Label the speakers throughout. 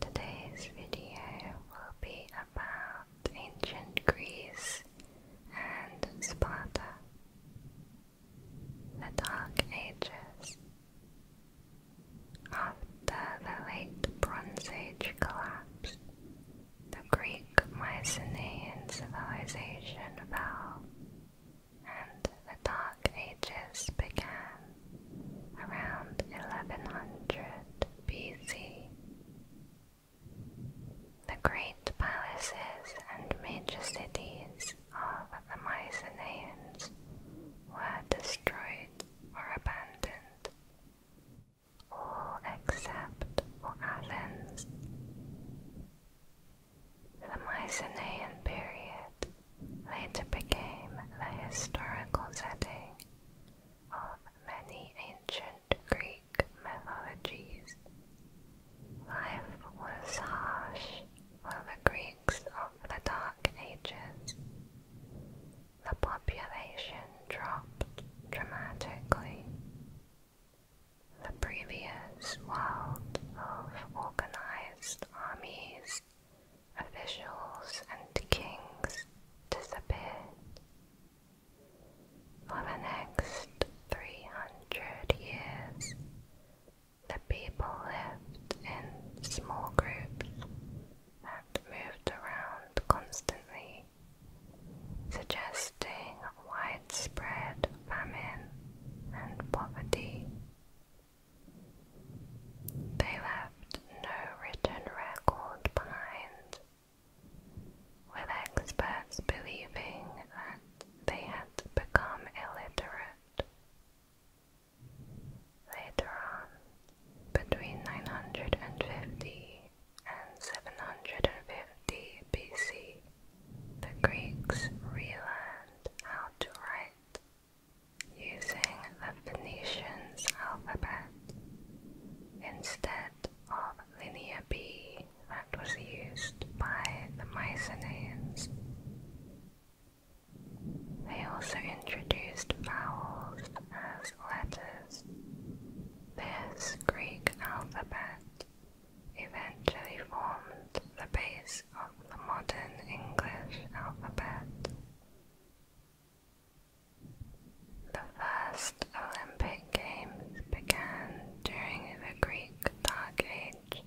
Speaker 1: Today's video will be about ancient Greece and Sparta, the Dark Ages. After the late Bronze Age collapsed, the Greek Mycenaean civilization fell, and the Dark Ages began around 1100 BC. The great palaces and major cities of the Mycenaeans were destroyed or abandoned, all except for Athens. The Mycenaean period later became the historical setting of many ancient Greek mythologies. Life was harsh for the Greeks of the Dark Ages. The population dropped dramatically. The previous world of organized armies officials and kings disappeared. For the next 300 years, the people lived in small groups and moved around constantly, suggesting widespread famine and poverty. They left no written record behind, with experts believing that they had become illiterate. Later on, between 950 and 750 BC, the Greeks relearned how to write using the Phoenician alphabet instead of Linear B that was used by the Mycenaeans. They also introduced vowels as letters. This Greek alphabet eventually formed the base of the modern English alphabet. The first Olympic Games began during the Greek Dark Age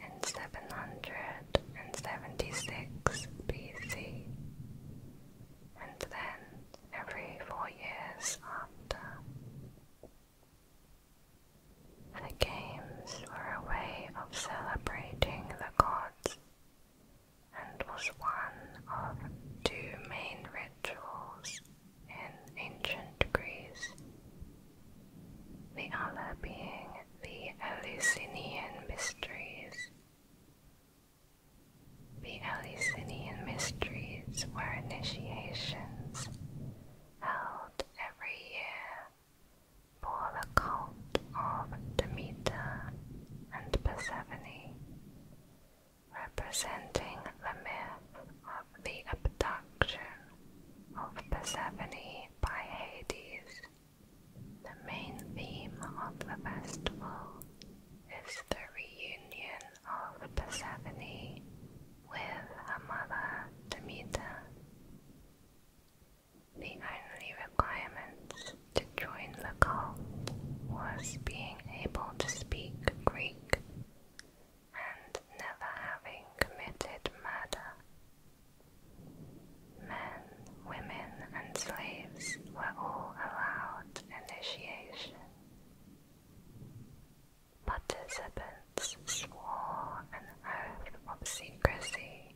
Speaker 1: in 776 BC, and then every four years after. The games were a way of celebrating the gods and was one of two main rituals in ancient Greece, the other being the Eleusinian Mysteries. The Eleusinian Mysteries were initiations held every year for the cult of Demeter and Persephone, representing the myth of the abduction of Persephone by Hades. The main theme of the festival is the reunion of Persephone with her mother Demeter. The only requirement to join the cult was being able to speak Greek and never having committed murder. Men, women, and slaves were all allowed initiation. Participants swore an oath of secrecy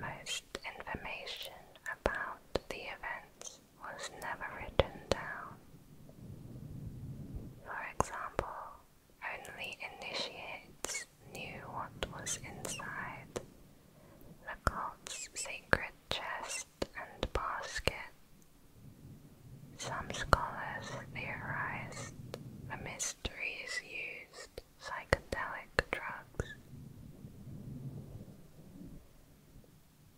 Speaker 1: most information about the events was never written down. For example, only initiates knew what was inside the cult's sacred chest and basket. Some scholars theorized the mysteries used psychedelic drugs.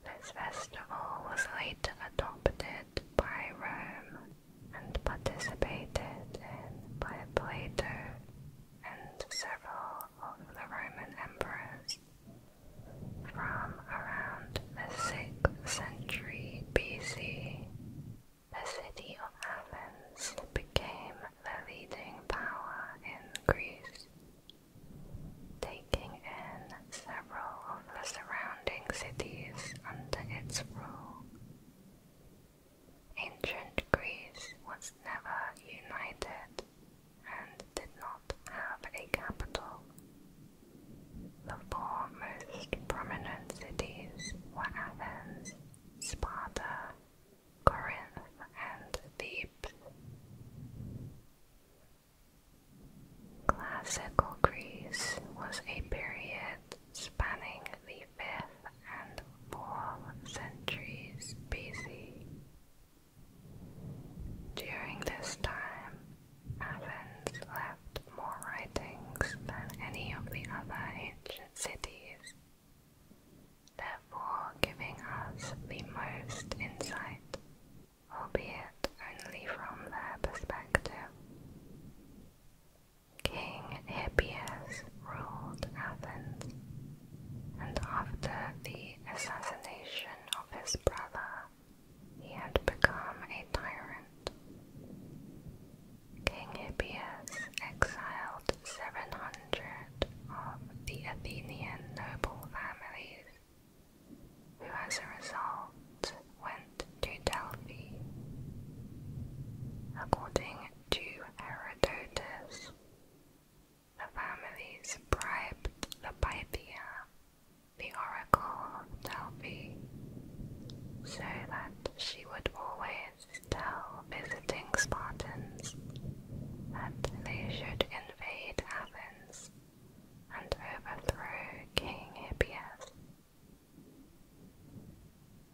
Speaker 1: This festival was later adopted by Rome and participated in by Plato and several of the Roman emperors from around the 6th century BC. The city of Athens became the leading power in Greece, taking in several of the surrounding cities under its rule. Ancient Greece was never united and did not have a capital. The four most prominent cities were Athens, Sparta, Corinth, and Thebes. Classical Greece was a period spanning the 5th and 4th centuries BC. During this time, Athens left more writings than any of the other ancient cities therefore giving us the most insight, albeit only from their perspective. King Hippias ruled Athens, and after the assassination of his brother, he had become a tyrant. King Hippias exiled seven hundred of the Athenian noble families, who as a result went to Delphi. According to Herodotus, the families bribed the Pythia, the oracle of Delphi, so that she would always still visiting Spartans that they should invade Athens and overthrow King Hippias.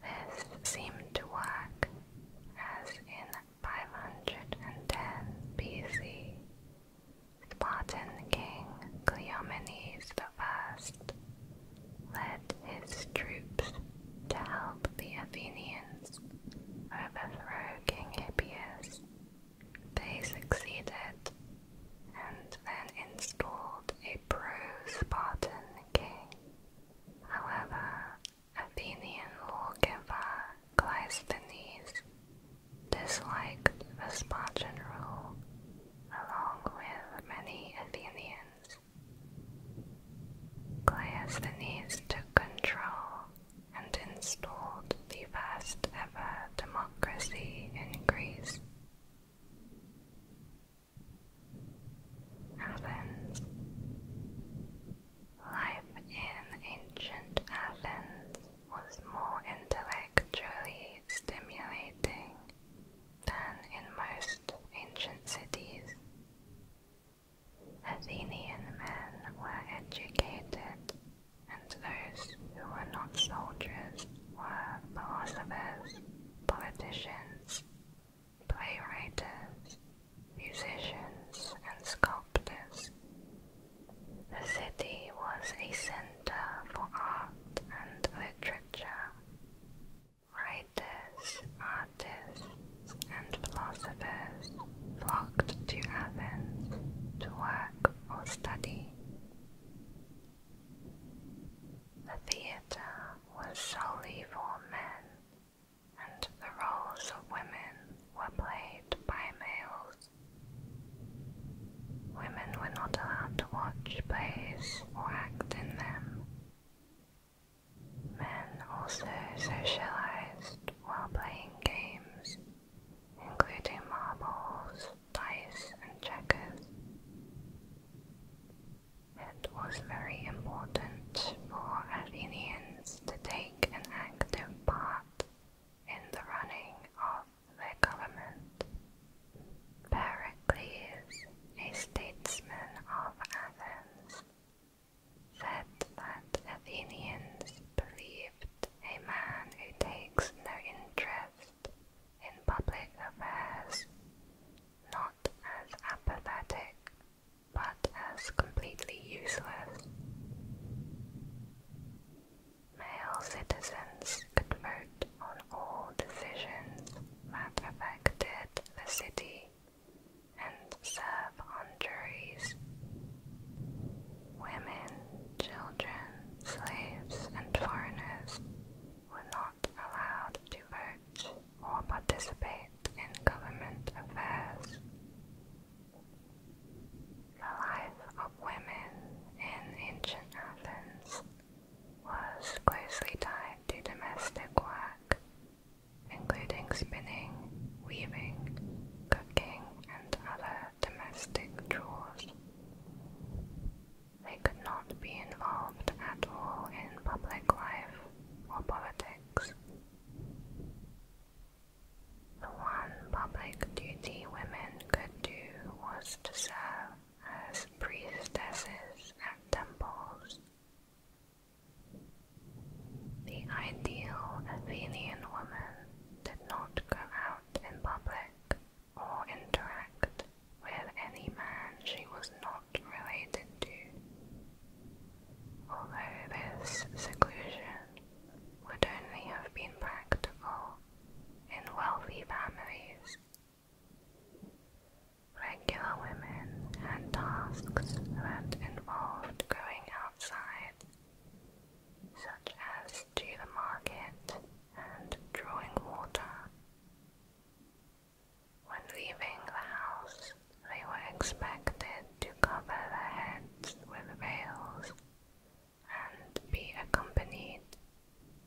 Speaker 1: This seemed to work, as in 510 BC, Spartan king Cleomenes the First led his troops to help the Athenians overthrow King Hippias. They succeeded and then installed a pro-Spartan king. However, Athenian lawgiver Cleisthenes disliked the Spartan rule, along with many Athenians. Cleisthenes took control and installed the first ever democracy in Greece. Athens. Life in ancient Athens was more intellectually stimulating than in most ancient cities. Athenian men were educated, and those who were not soldiers were philosophers, politicians, playwrights, musicians, and sculptors. The city was a center for art and literature. Writers, artists and philosophers flocked to Athens to work or study. The theatre was solely for men, and the roles of women were played by males. Women were not allowed to watch plays or act in them. Men also socialized while playing games, including marbles, dice, and checkers. It was very important for Athenians to take an active part in the running of their government. Pericles, a statesman of Athens, said that Athenians believed a man who takes no interest in public affairs not as apathetic but as completely useless. Male citizens could vote on all decisions that affected the city and serve on juries. Women, children, slaves, and foreigners were not allowed to vote or participate in government affairs. The life of women in ancient Athens was closely tied to domestic work including spinning, weaving, cooking, and other domestic chores. They could not be involved at all in public life or politics. The one public duty women could do was to serve as priestesses at temples the ideal Athenian woman did not go out in public or interact with any man she was not related to, although this seclusion would only have been practical in wealthy families. Regular women had tasks that involved going outside such as to the market and drawing water. When leaving the house, they were expected to cover their heads with veils and be accompanied.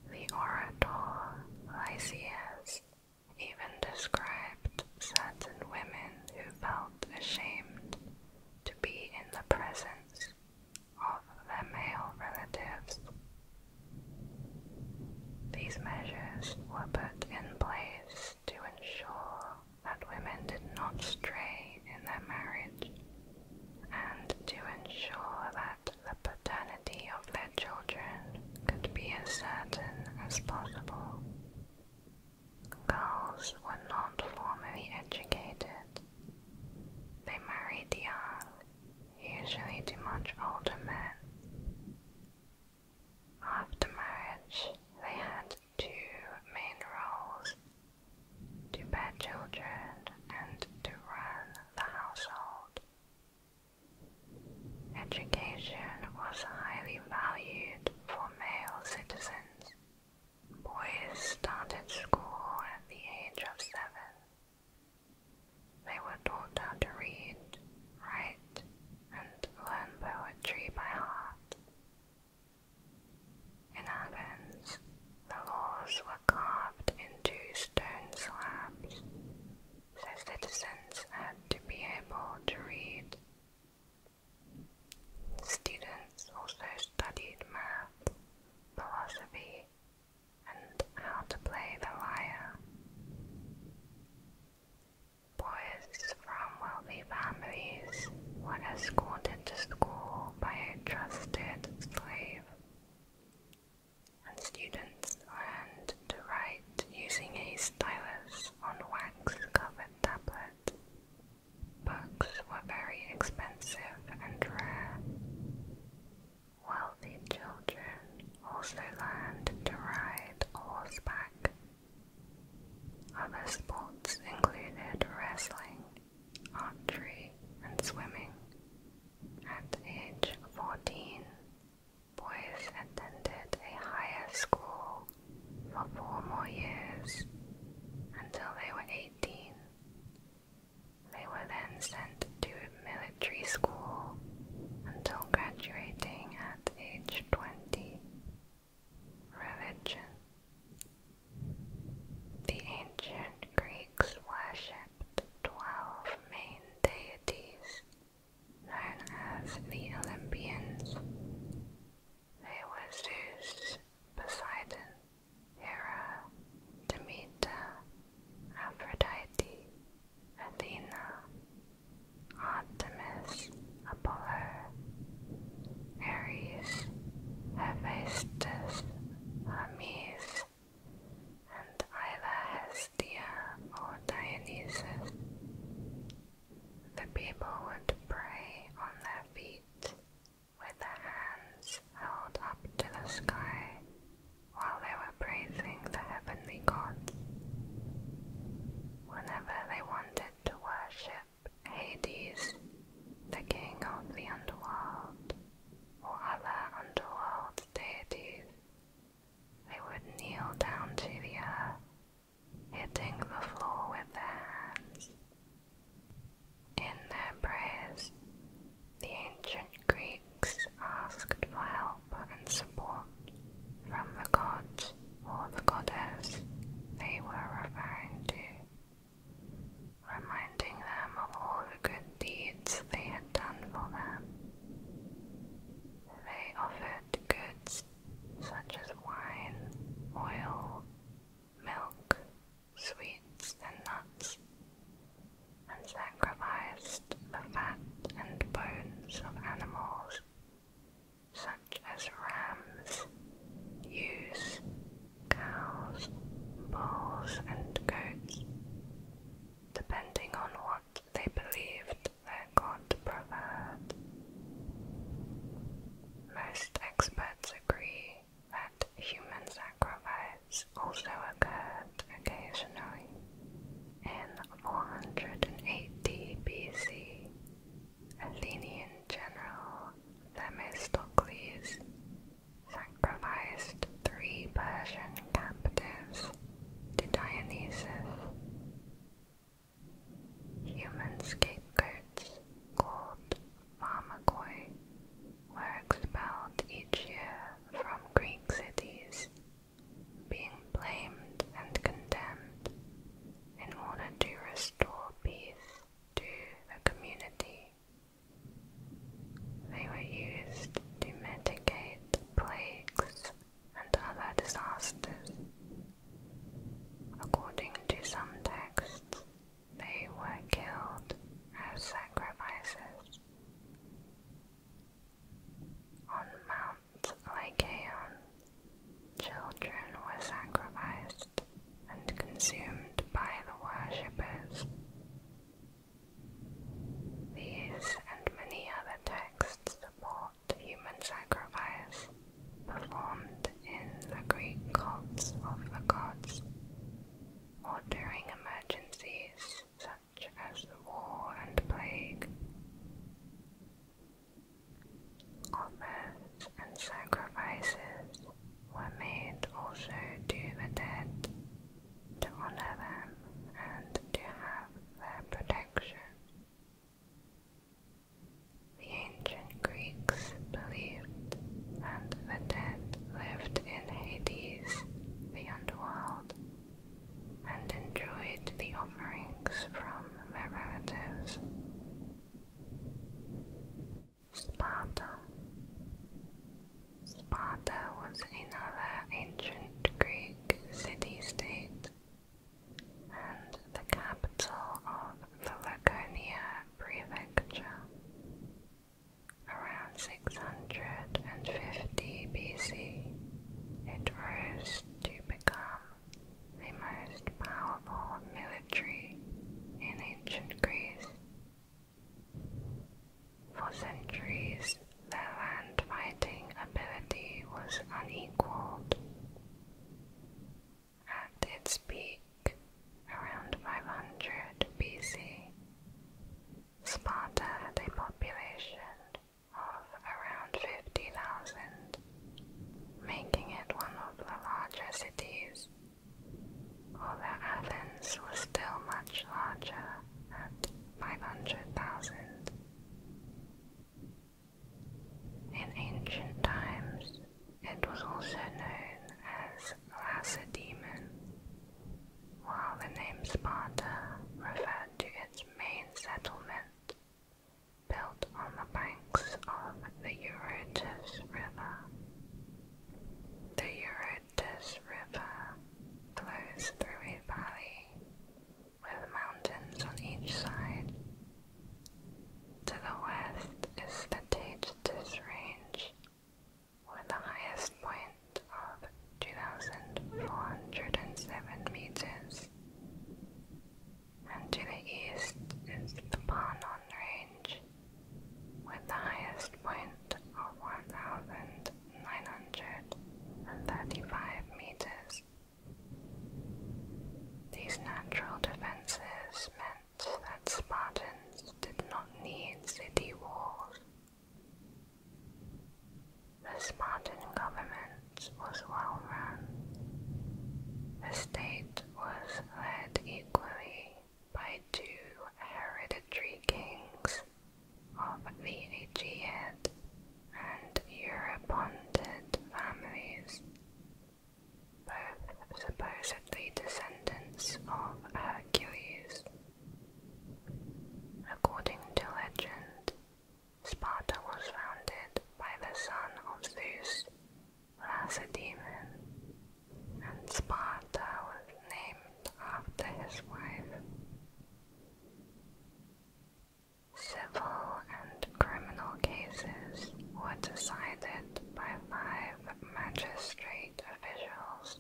Speaker 1: The orator Lysias even described certain women who felt ashamed to be in the presence of their male relatives. These measures were put in place to ensure that women did not stray in their marriage and to ensure that the paternity of their children could be as certain as possible. Girls were not formally educated. They married young, usually to much older men. After marriage, they had two main roles to bear children and to run the household. Education was highly valued for male citizens Boys started school at the age of seven. They were taught how to read, write, and learn poetry by heart. In Athens, the laws were carved into stone slabs, so citizens had to be able to read, Students also studied math, philosophy, and how to play the lyre. Boys from wealthy families were escorted to school by a trusted slave, and students learned to write using a stylus on wax-covered tablets. Books were very expensive and rare. Wealthy children also learned to ride horseback. Other sports included wrestling, archery, and swimming. At age 14, boys attended a higher school for four more years until they were 18. They were then sent to military school until graduating at age 20. Religion The ancient Greeks worshipped 12 main deities known as the Olympians. They were Zeus, Poseidon, Hera, Demeter, Aphrodite, Athena, Artemis, Apollo, Ares, Hephaestus, Hermes, and either Hestia or Dionysus. The people would pray on their feet with their hands held up to the sky while they were praising the heavenly gods. Whenever they wanted to worship Hades, the king of the underworld, or other underworld deities, they would kneel down to the earth, hitting the floor with their hands in their prayers, the ancient Greeks asked for help and support from the gods or the goddess they were referring to, reminding them of all the good deeds they had done for them. They offered goods such as wine, oil, milk, sweets, and nuts, and sacrificed the fat and bones of animals such as rams, ewes, cows, bulls, and goats, depending on what they believed their god preferred. Most experts agree that human sacrifice also occurred occasionally. In 480 BC, Athenian general Themistocles sacrificed three Persian captives to Dionysus. Human scapegoats, called Mamagoi were expelled each year from Greek cities, being blamed and condemned in order to restore peace to the community. They were used to mitigate plagues and other disasters. According to some texts, they were killed as sacrifices. On Mount Lycaon, children were sacrificed and consumed by the worshippers. These and many other texts support human sacrifice performed in the Greek cults of the gods, or during emergencies such as war and plague. Offers and sacrifices were made also to the dead to honor them and to have their protection. The ancient Greeks believed that the dead lived in Hades, beyond the world, and enjoyed the offerings from their relatives. Sparta Sparta was another ancient Greek city-state and the capital of the Laconia prefecture. Around 650 BC, it rose to become the most powerful military in ancient Greece. For centuries, their land fighting ability was unequaled at its peak around 500 BC, Sparta had a population of around 50,000, making it one of the larger cities, although Athens was still much larger at 500,000. In ancient times, it was also known as Lacedaemon, while the name Sparta referred to its main settlement, built on the banks of the Eurotas River. The Eurotas River flows through a valley with mountains on each side. To the west is the Tacitus Range, with the highest point of 2,407 meters. And to the east is the Panon Range, with the highest point of 1,935 meters. These natural defenses meant that Spartans did not need city walls. The Spartan government was well run. The state was led equally by two hereditary kings of the Aegeid and Europontid families both supposedly descendants of Hercules. According to legend, Sparta was founded by the son of Zeus, Lacedaemon, and Sparta was named after his wife. Civil and criminal cases were decided by five magistrates officials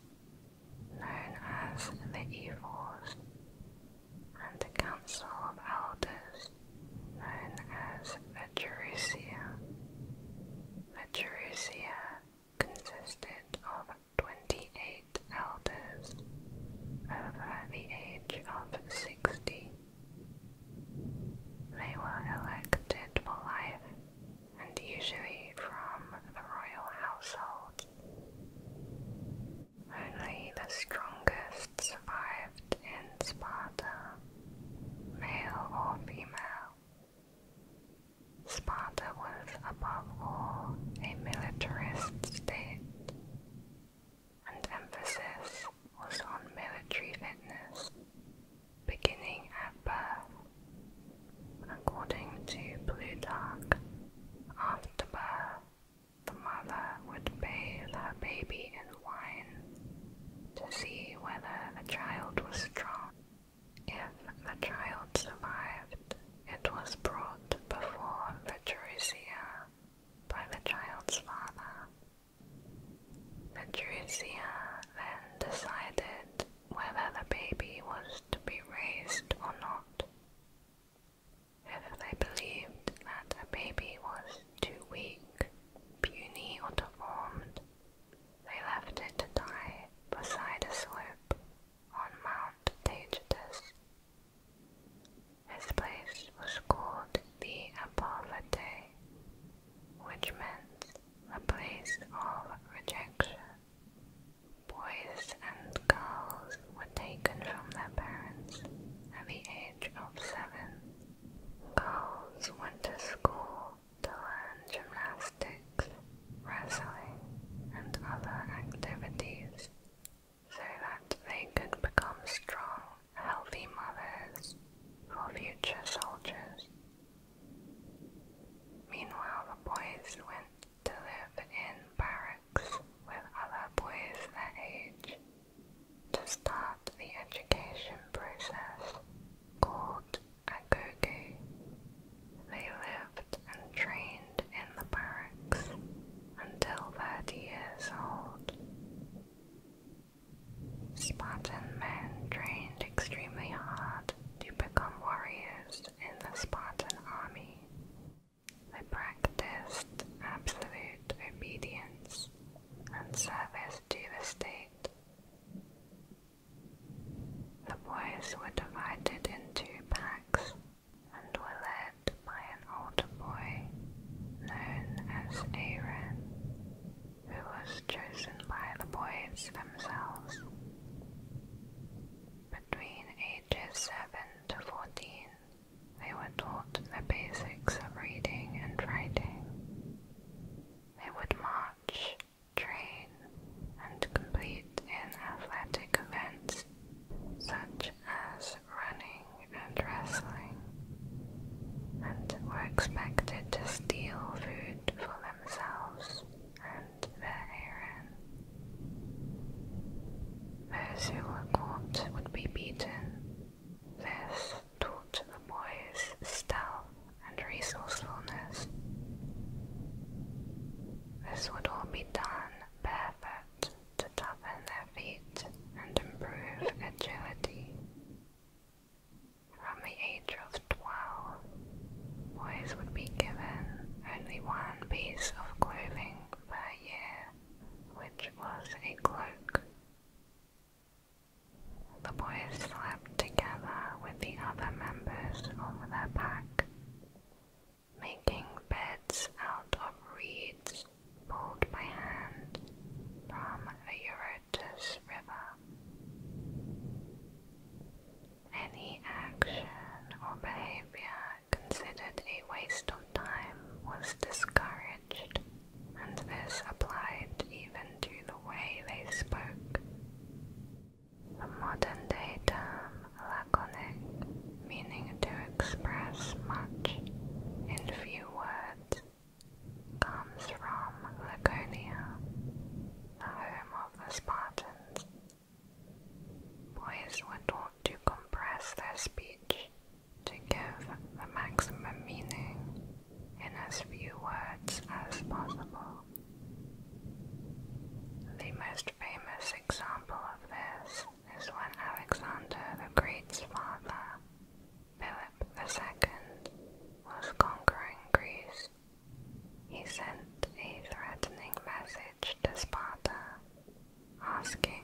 Speaker 1: known as the Evors and a council of elders known as the Gerousia. The Gerousia consisted of 28 elders over the age of 60. They were elected for life and usually from the royal household. Only the strongest survived in Sparta, male or female. Sparta was above all a militarist state, and emphasis was on military fitness beginning at birth. According to Plutarch, after birth, the mother would bathe her baby in wine to see whether the child was strong. If the child survived, it was brought before Vetrucia by the child's father. Vetrucia then decided whether the baby was to be raised or not. If they believed that a baby was too weak, puny, or deformed, they left it to die beside a slope on Mount Taygetus. This place was called the Apophatae, which meant a place of rejection. Boys and girls were taken from their parents at the age of seven. Girls went to school to learn gymnastics, wrestling, and other activities so that they could become strong, healthy mothers for future soldiers. Meanwhile, the boys went to live in barracks with other boys their age to start the education process called agoge. They lived and trained in the barracks until 30 years old. Spartan men trained extremely hard to become warriors in the Spartan army. They practiced absolute obedience and service to the state. The boys were divided into packs and were led by an older boy known as Aaron who was chosen by the boys themselves. Between ages 7 to 14, they were taught the basics of reading and writing. They would march, train, and compete in athletic events such as running and wrestling, and were expected to steal food for themselves and their Aaron. Those who were would be beaten. This taught the boys stealth and resourcefulness. This would all be done barefoot to toughen their feet and improve agility. From the age of twelve, boys would be given only one piece of clothing per year, which was a cloak. The boys slept together with the other members of their pack, making beds out of reeds pulled by hand from the Eurotas River. Any action or behavior considered a waste of time was discouraged, and this applied even to the way they spoke. The modern day term laconic, meaning to express much in few words, comes from Laconia, the home of the Spartans. Boys were taught to compress their speech to give the maximum meaning in as few words as possible. The most famous example of this is when Alexander the Great's father, Philip the Second, was conquering Greece he sent a threatening message to Sparta, asking,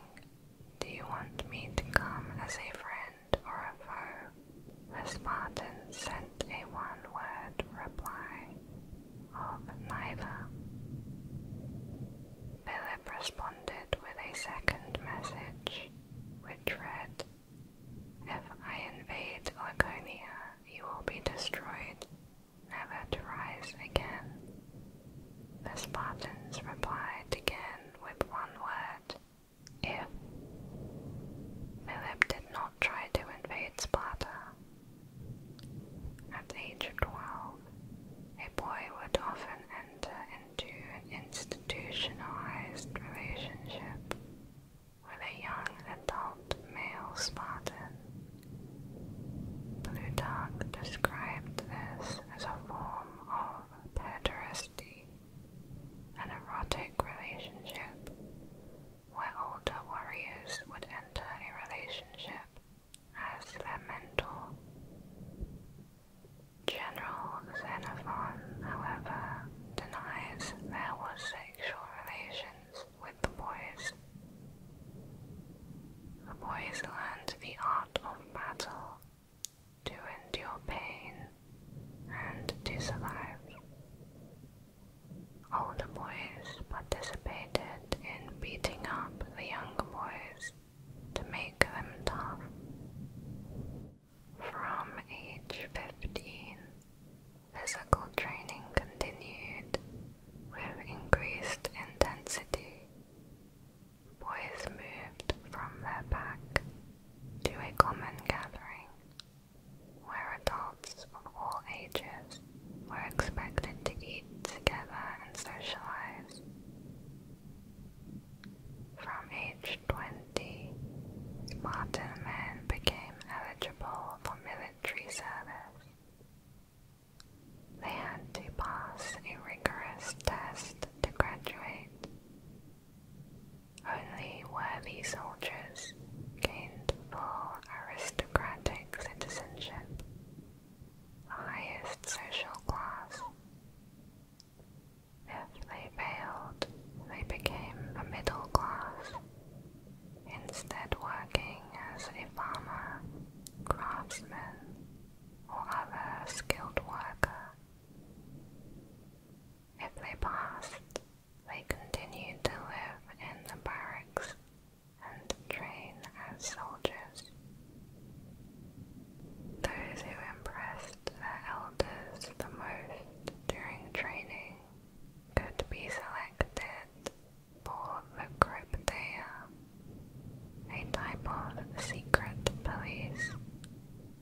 Speaker 1: Do you want me to come as a friend or a foe? The Spartans sent a one word reply of neither. Philip responded with a second message, which read, If I invade Laconia, you will be destroyed, never to rise again. The Spartans replied again with one word, if. Philip did not try to invade Sparta. At age 12, a boy would often enter into an institutionalized relationship with a young adult male Spartan. Plutarch described this as a form of pederasty, an erotic relationship where older warriors would enter a relationship as their mentor. General Xenophon, however, denies there was sexual relations with the boys. The boys learned the art of battle, to endure pain, and to survive. Older boys participated in beating up the young boys to make them tough. From age 15, Physical training continued with increased intensity. Boys moved from their pack to a common gathering where adults of all ages were expected to eat together and socialize. From age 20, Spartan men became eligible for military service. They had to pass a rigorous test to graduate. Only worthy soldiers gained full aristocratic citizenship, the highest social class. If they failed, they became a middle class instead working as a farmer, craftsman, or other skilled worker. If they passed, they continued to live in the barracks and train as soldiers. Those who impressed their elders the most during training could be selected Porphyrcryptea, a type of secret police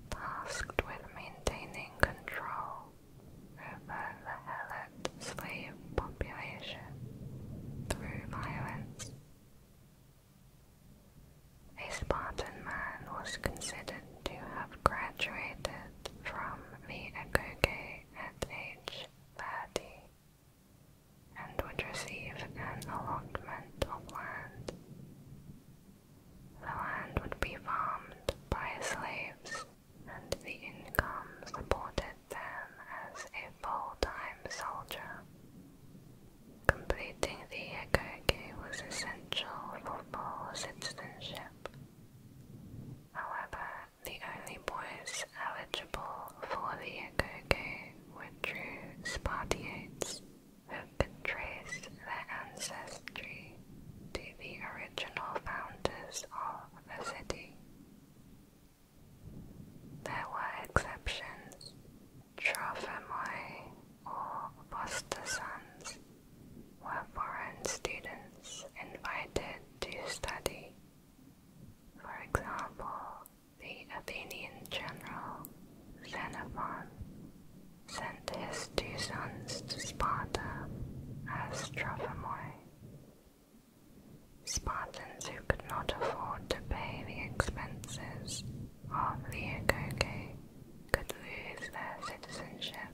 Speaker 1: tasked with maintaining control over the helot slave population through violence. A Spartan man was considered to have graduated from the Agoge at age laity, and would receive an allotment of land. The land would be farmed by slaves, and the income supported them as a full-time soldier. Completing the egoge was essential for full citizenship. However, the only boys eligible for the Agogo were true Spartiates who traced their ancestry to the original founders of the city. There were exceptions. Trophomoy or foster sons were foreign students invited to study for example, the Athenian general Xenophon sent his two sons to Sparta as trophamoi. Spartans who could not afford to pay the expenses of the Agoge could lose their citizenship.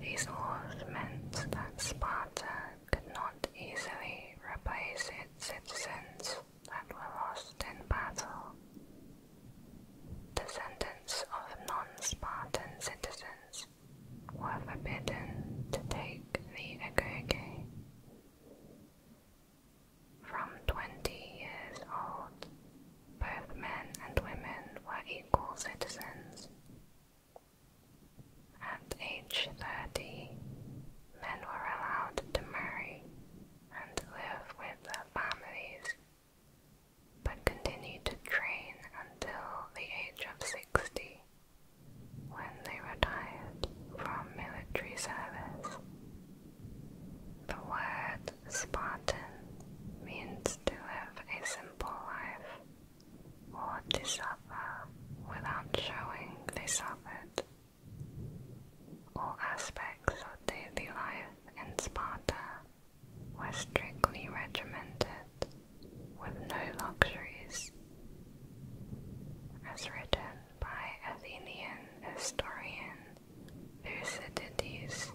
Speaker 1: These laws meant that Sparta could not easily replace its citizens that were lost in battle. Descendants of non-Spartan citizens were forbidden to take the agoge. From twenty years old, both men and women were equal citizens, at age 30, men were allowed to marry and live with their families, but continued to train until the age of 60, when they retired from military service. The word Spartan means to live a simple life want to suffer without showing they suffered. All aspects of daily life in Sparta were strictly regimented, with no luxuries. As written by Athenian historian Thucydides,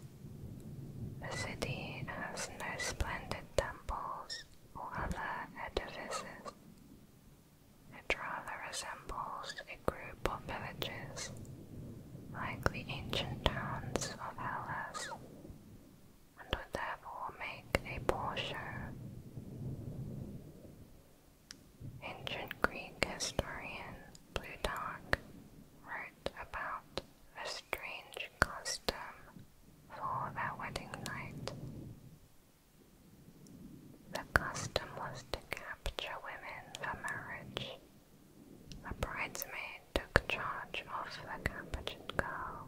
Speaker 1: the city has no splendid temples or other edifices. It rather resembles a group of villages, like the ancient towns of Hellas, and would therefore make a poor show. Ancient Greek historian Plutarch wrote about strange custom for their wedding night. The custom was to capture women for marriage. The bridesmaid took charge of the captured girl.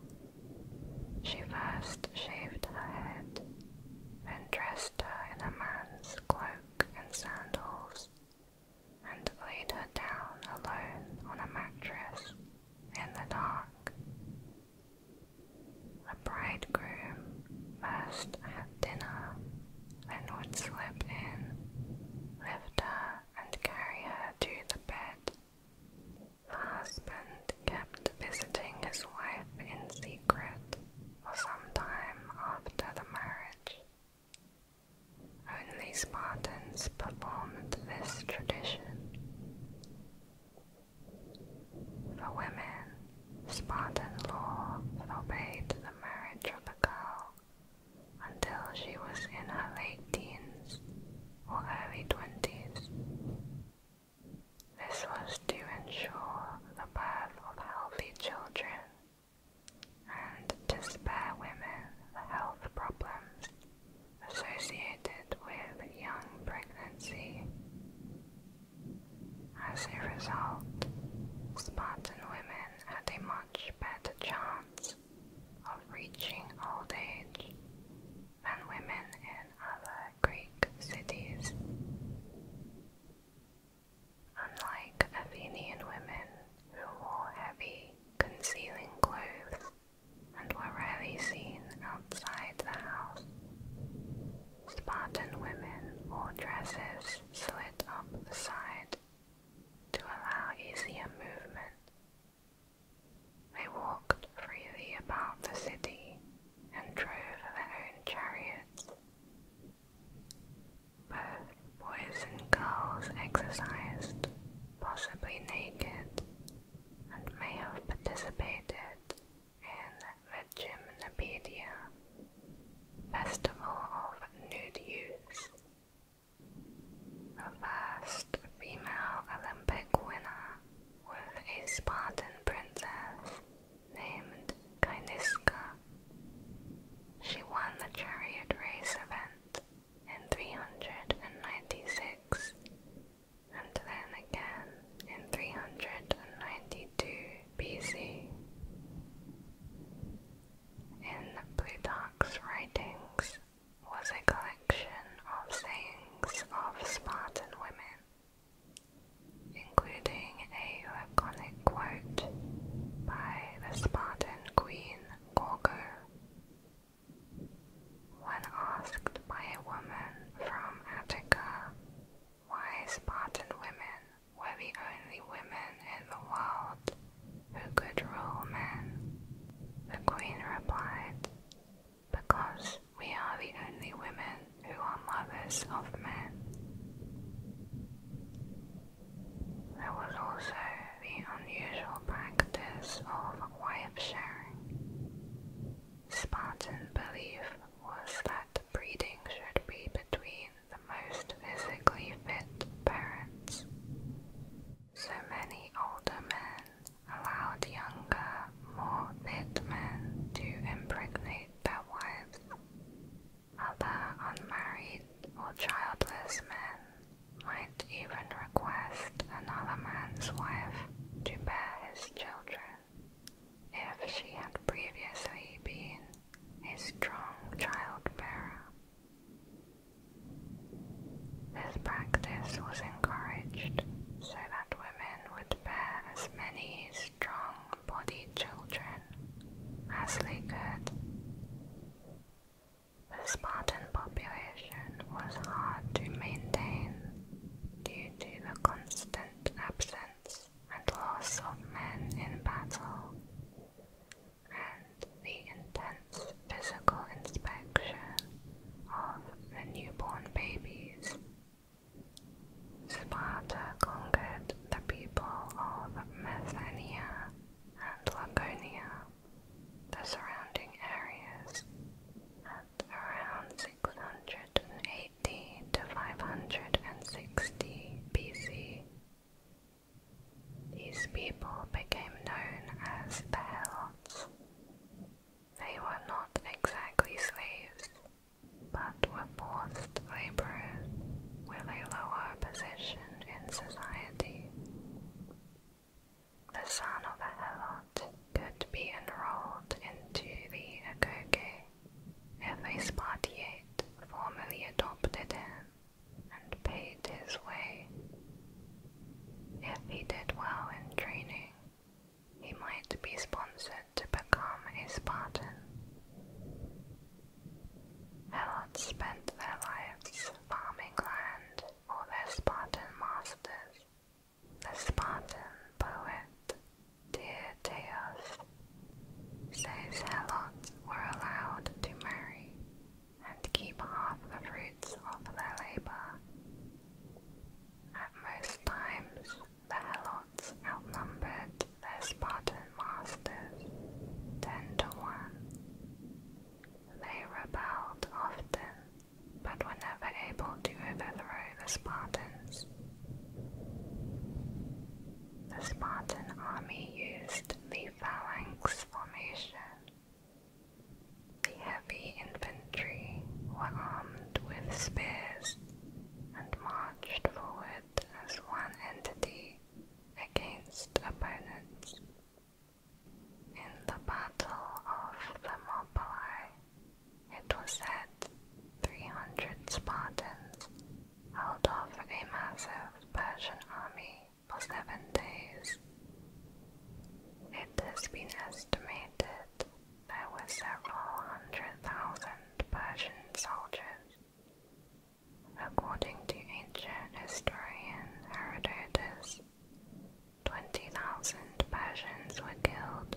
Speaker 1: She first shaved her head, then dressed her in a man's cloak and sandals, and laid her down alone on a mattress in the dark. a bridegroom must had dinner, then would slip in, lift her, and carry her to the bed. The husband kept visiting his wife in secret for some time after the marriage. Only Spartans performed this tradition. For women, Spartan law forbade the marriage of a girl until she was in her late teens or early twenties. This was to ensure the birth of healthy children and to spare women the health problems associated with young pregnancy. As a result, Spartan women had a much better chance of reaching old age than women in other Greek cities. Unlike Athenian women who wore heavy, concealing clothes and were rarely seen outside the house. Spartan women wore dresses slit up the side to allow easier movement. They walked freely about the city and drove their own chariots. Both boys and girls exercised, possibly naked, and may have participated in the Gymnopedia Festival of Nude youths. The first female Olympic winner was a Spartan princess named Kyniska. She won the chariot race event in 396 and then again in 392 BC. In Plutarch's writings was a collection of sayings of Spartan women, including a laconic quote by the Spartan queen Gorgo when asked by a woman from Attica why Spartan women were the only women in the world who could rule men, the queen replied, Because we are the only women who are mothers of men. There was also the unusual practice of why of sharing. Spartan belief was that breeding should be between the most physically fit parents. So many older men allowed younger, more fit men to impregnate their wives. Other unmarried or childless men might even request another man's wife to bear his children if she had previously been a strong child-bearer. This practice was encouraged so that women would bear as many strong-bodied children as they could. The Spartan population was hard to maintain due to the constant absence and loss of men in battle, and the intense physical inspection of the newborn babies. Sparta conquered the people of Methania and Laconia, the surrounding areas, around 680 to 560 BC. These people became known as the Helots. They were not exactly slaves, but were forced laborers with a lower position in society. The son of a helot could be enrolled into the agoge if a Spartiate formally adopted him and paid his way. If he did well in training, he might be sponsored to become a Spartan. Helots spent their lives farming land for their Spartan masters the Spartan poet Tyrtaeus says Helots were allowed to marry and keep half the fruits of their labor. At most times, the Helots outnumbered the Spartan masters ten to one. They rebelled often but were never able to overthrow the Spartans. The Spartan army used the phalanx formation. The heavy infantry were armed with spears and marched forward as one entity against opponents. In the Battle of Thermopylae, it was said 300 Spartans held off a massive Persian army for seven days. It has been estimated there were several hundred thousand Persian soldiers. According to ancient historian Herodotus, 20,000 Persians were killed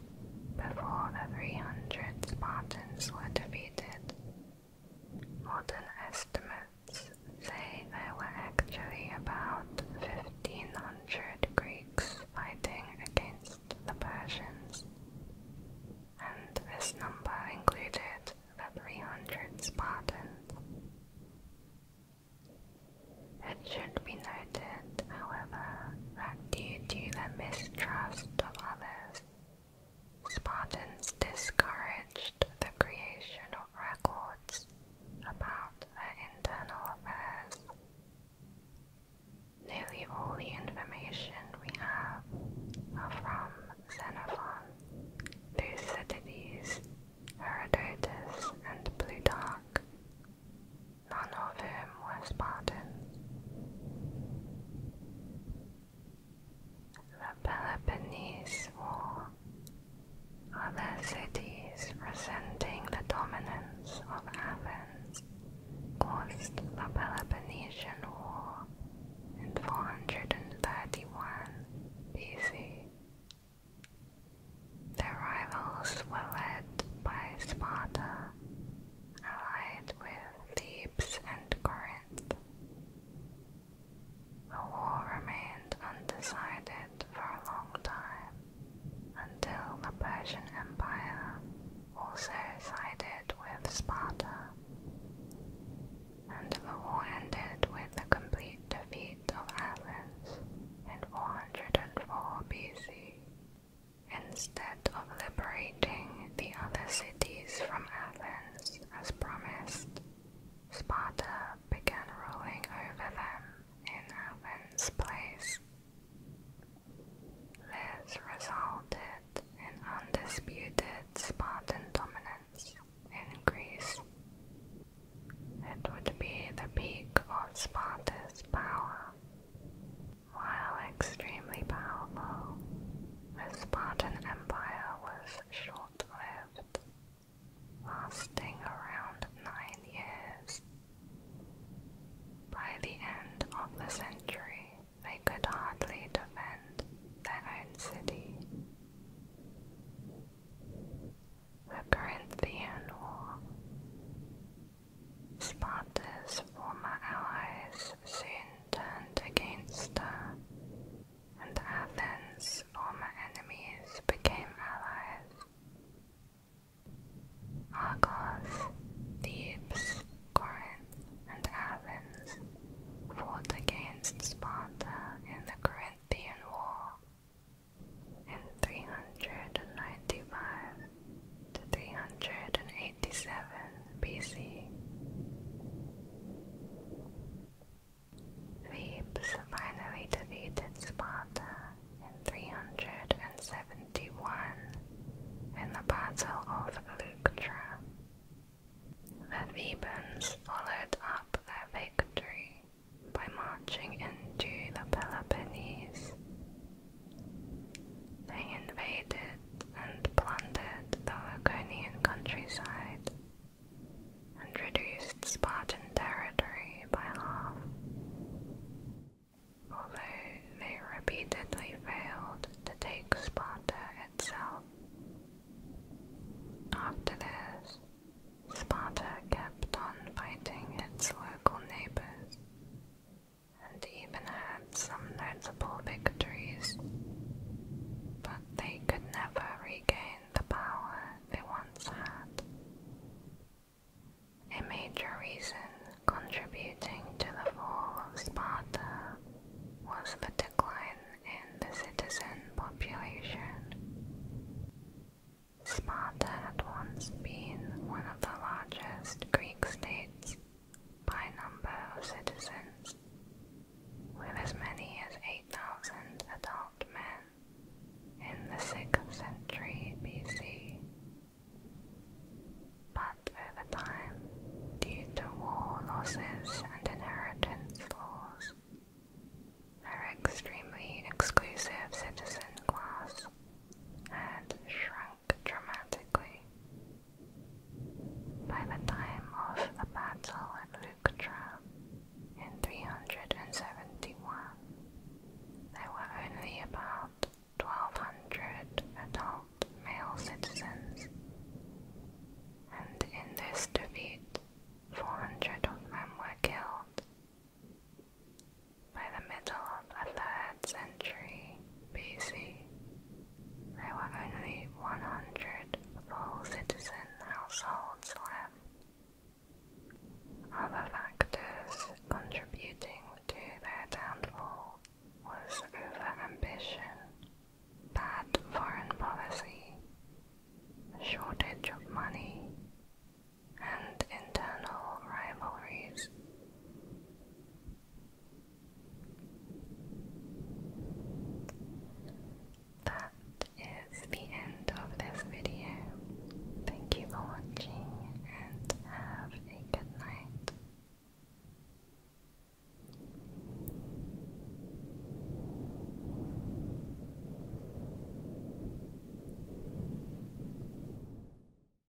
Speaker 1: before the 300 Spartans were defeated. Modern estimates say there were actually about 1,500 Greeks fighting against the Persians, and this number included the 300 Spartans. It should be noted, however, that due to the mistrust of others, Spartans discouraged the creation of records about their internal affairs. Nearly all the information we have are from Xenophon, Thucydides, Herodotus, and Plutarch. None of whom were Spartans. The Peloponnese War. Other cities resenting the dominance of Athens caused the Peloponnesian War in 431 BC. Their rivals were led by Sparta, allied with Thebes and Corinth. The war remained undecided for a long time until the Persian Empire also sided with Sparta, and the war ended with the complete defeat of Athens in 404 BC instead of liberating the other cities from Athens as promised. Sparta began ruling over them in Athens' place. This resulted in undisputed Spartan dominance in Greece. It would be the peak of Sparta's power while extremely powerful, the Spartan Empire was short-lived, lasting around nine years. By the end of the century, they could hardly defend their own city. The Corinthian War Sparta's former allies soon turned against her, and Athens' former enemies became allies. Argos, Thebes, Corinth, and Athens fought against Sparta in the Corinthian War in 395 to 387 BC. Thebes finally defeated Sparta in 371 in the Battle of Leuctra. The Thebans followed up their victory by marching into the Peloponnese they invaded and plundered the Laconian countryside and reduced Spartan territory by half. Although they repeatedly failed to take Sparta itself. After this, Sparta kept on fighting its local neighbors and even had some notable victories, but they could never regain the power they once had. A major reason contributing to the fall of Sparta was the decline in the citizen population. Sparta had once been one of the largest states by number of citizens, with as many as 8,000 adult men in the 6th century BC. But over time, due to war losses and inheritance laws, their extremely exclusive citizen class had shrunk dramatically. By the time of the battle at Leuctra in 371, there were only about 1,200 adult male citizens, and in this defeat, 400 of them were killed by the middle of the 3rd century BC, there were only 100 full citizen households left. Other factors contributing to their downfall was overambition, bad foreign policy, shortage of money, and internal rivalries. That is the end of this video. Thank you for watching and have a good night.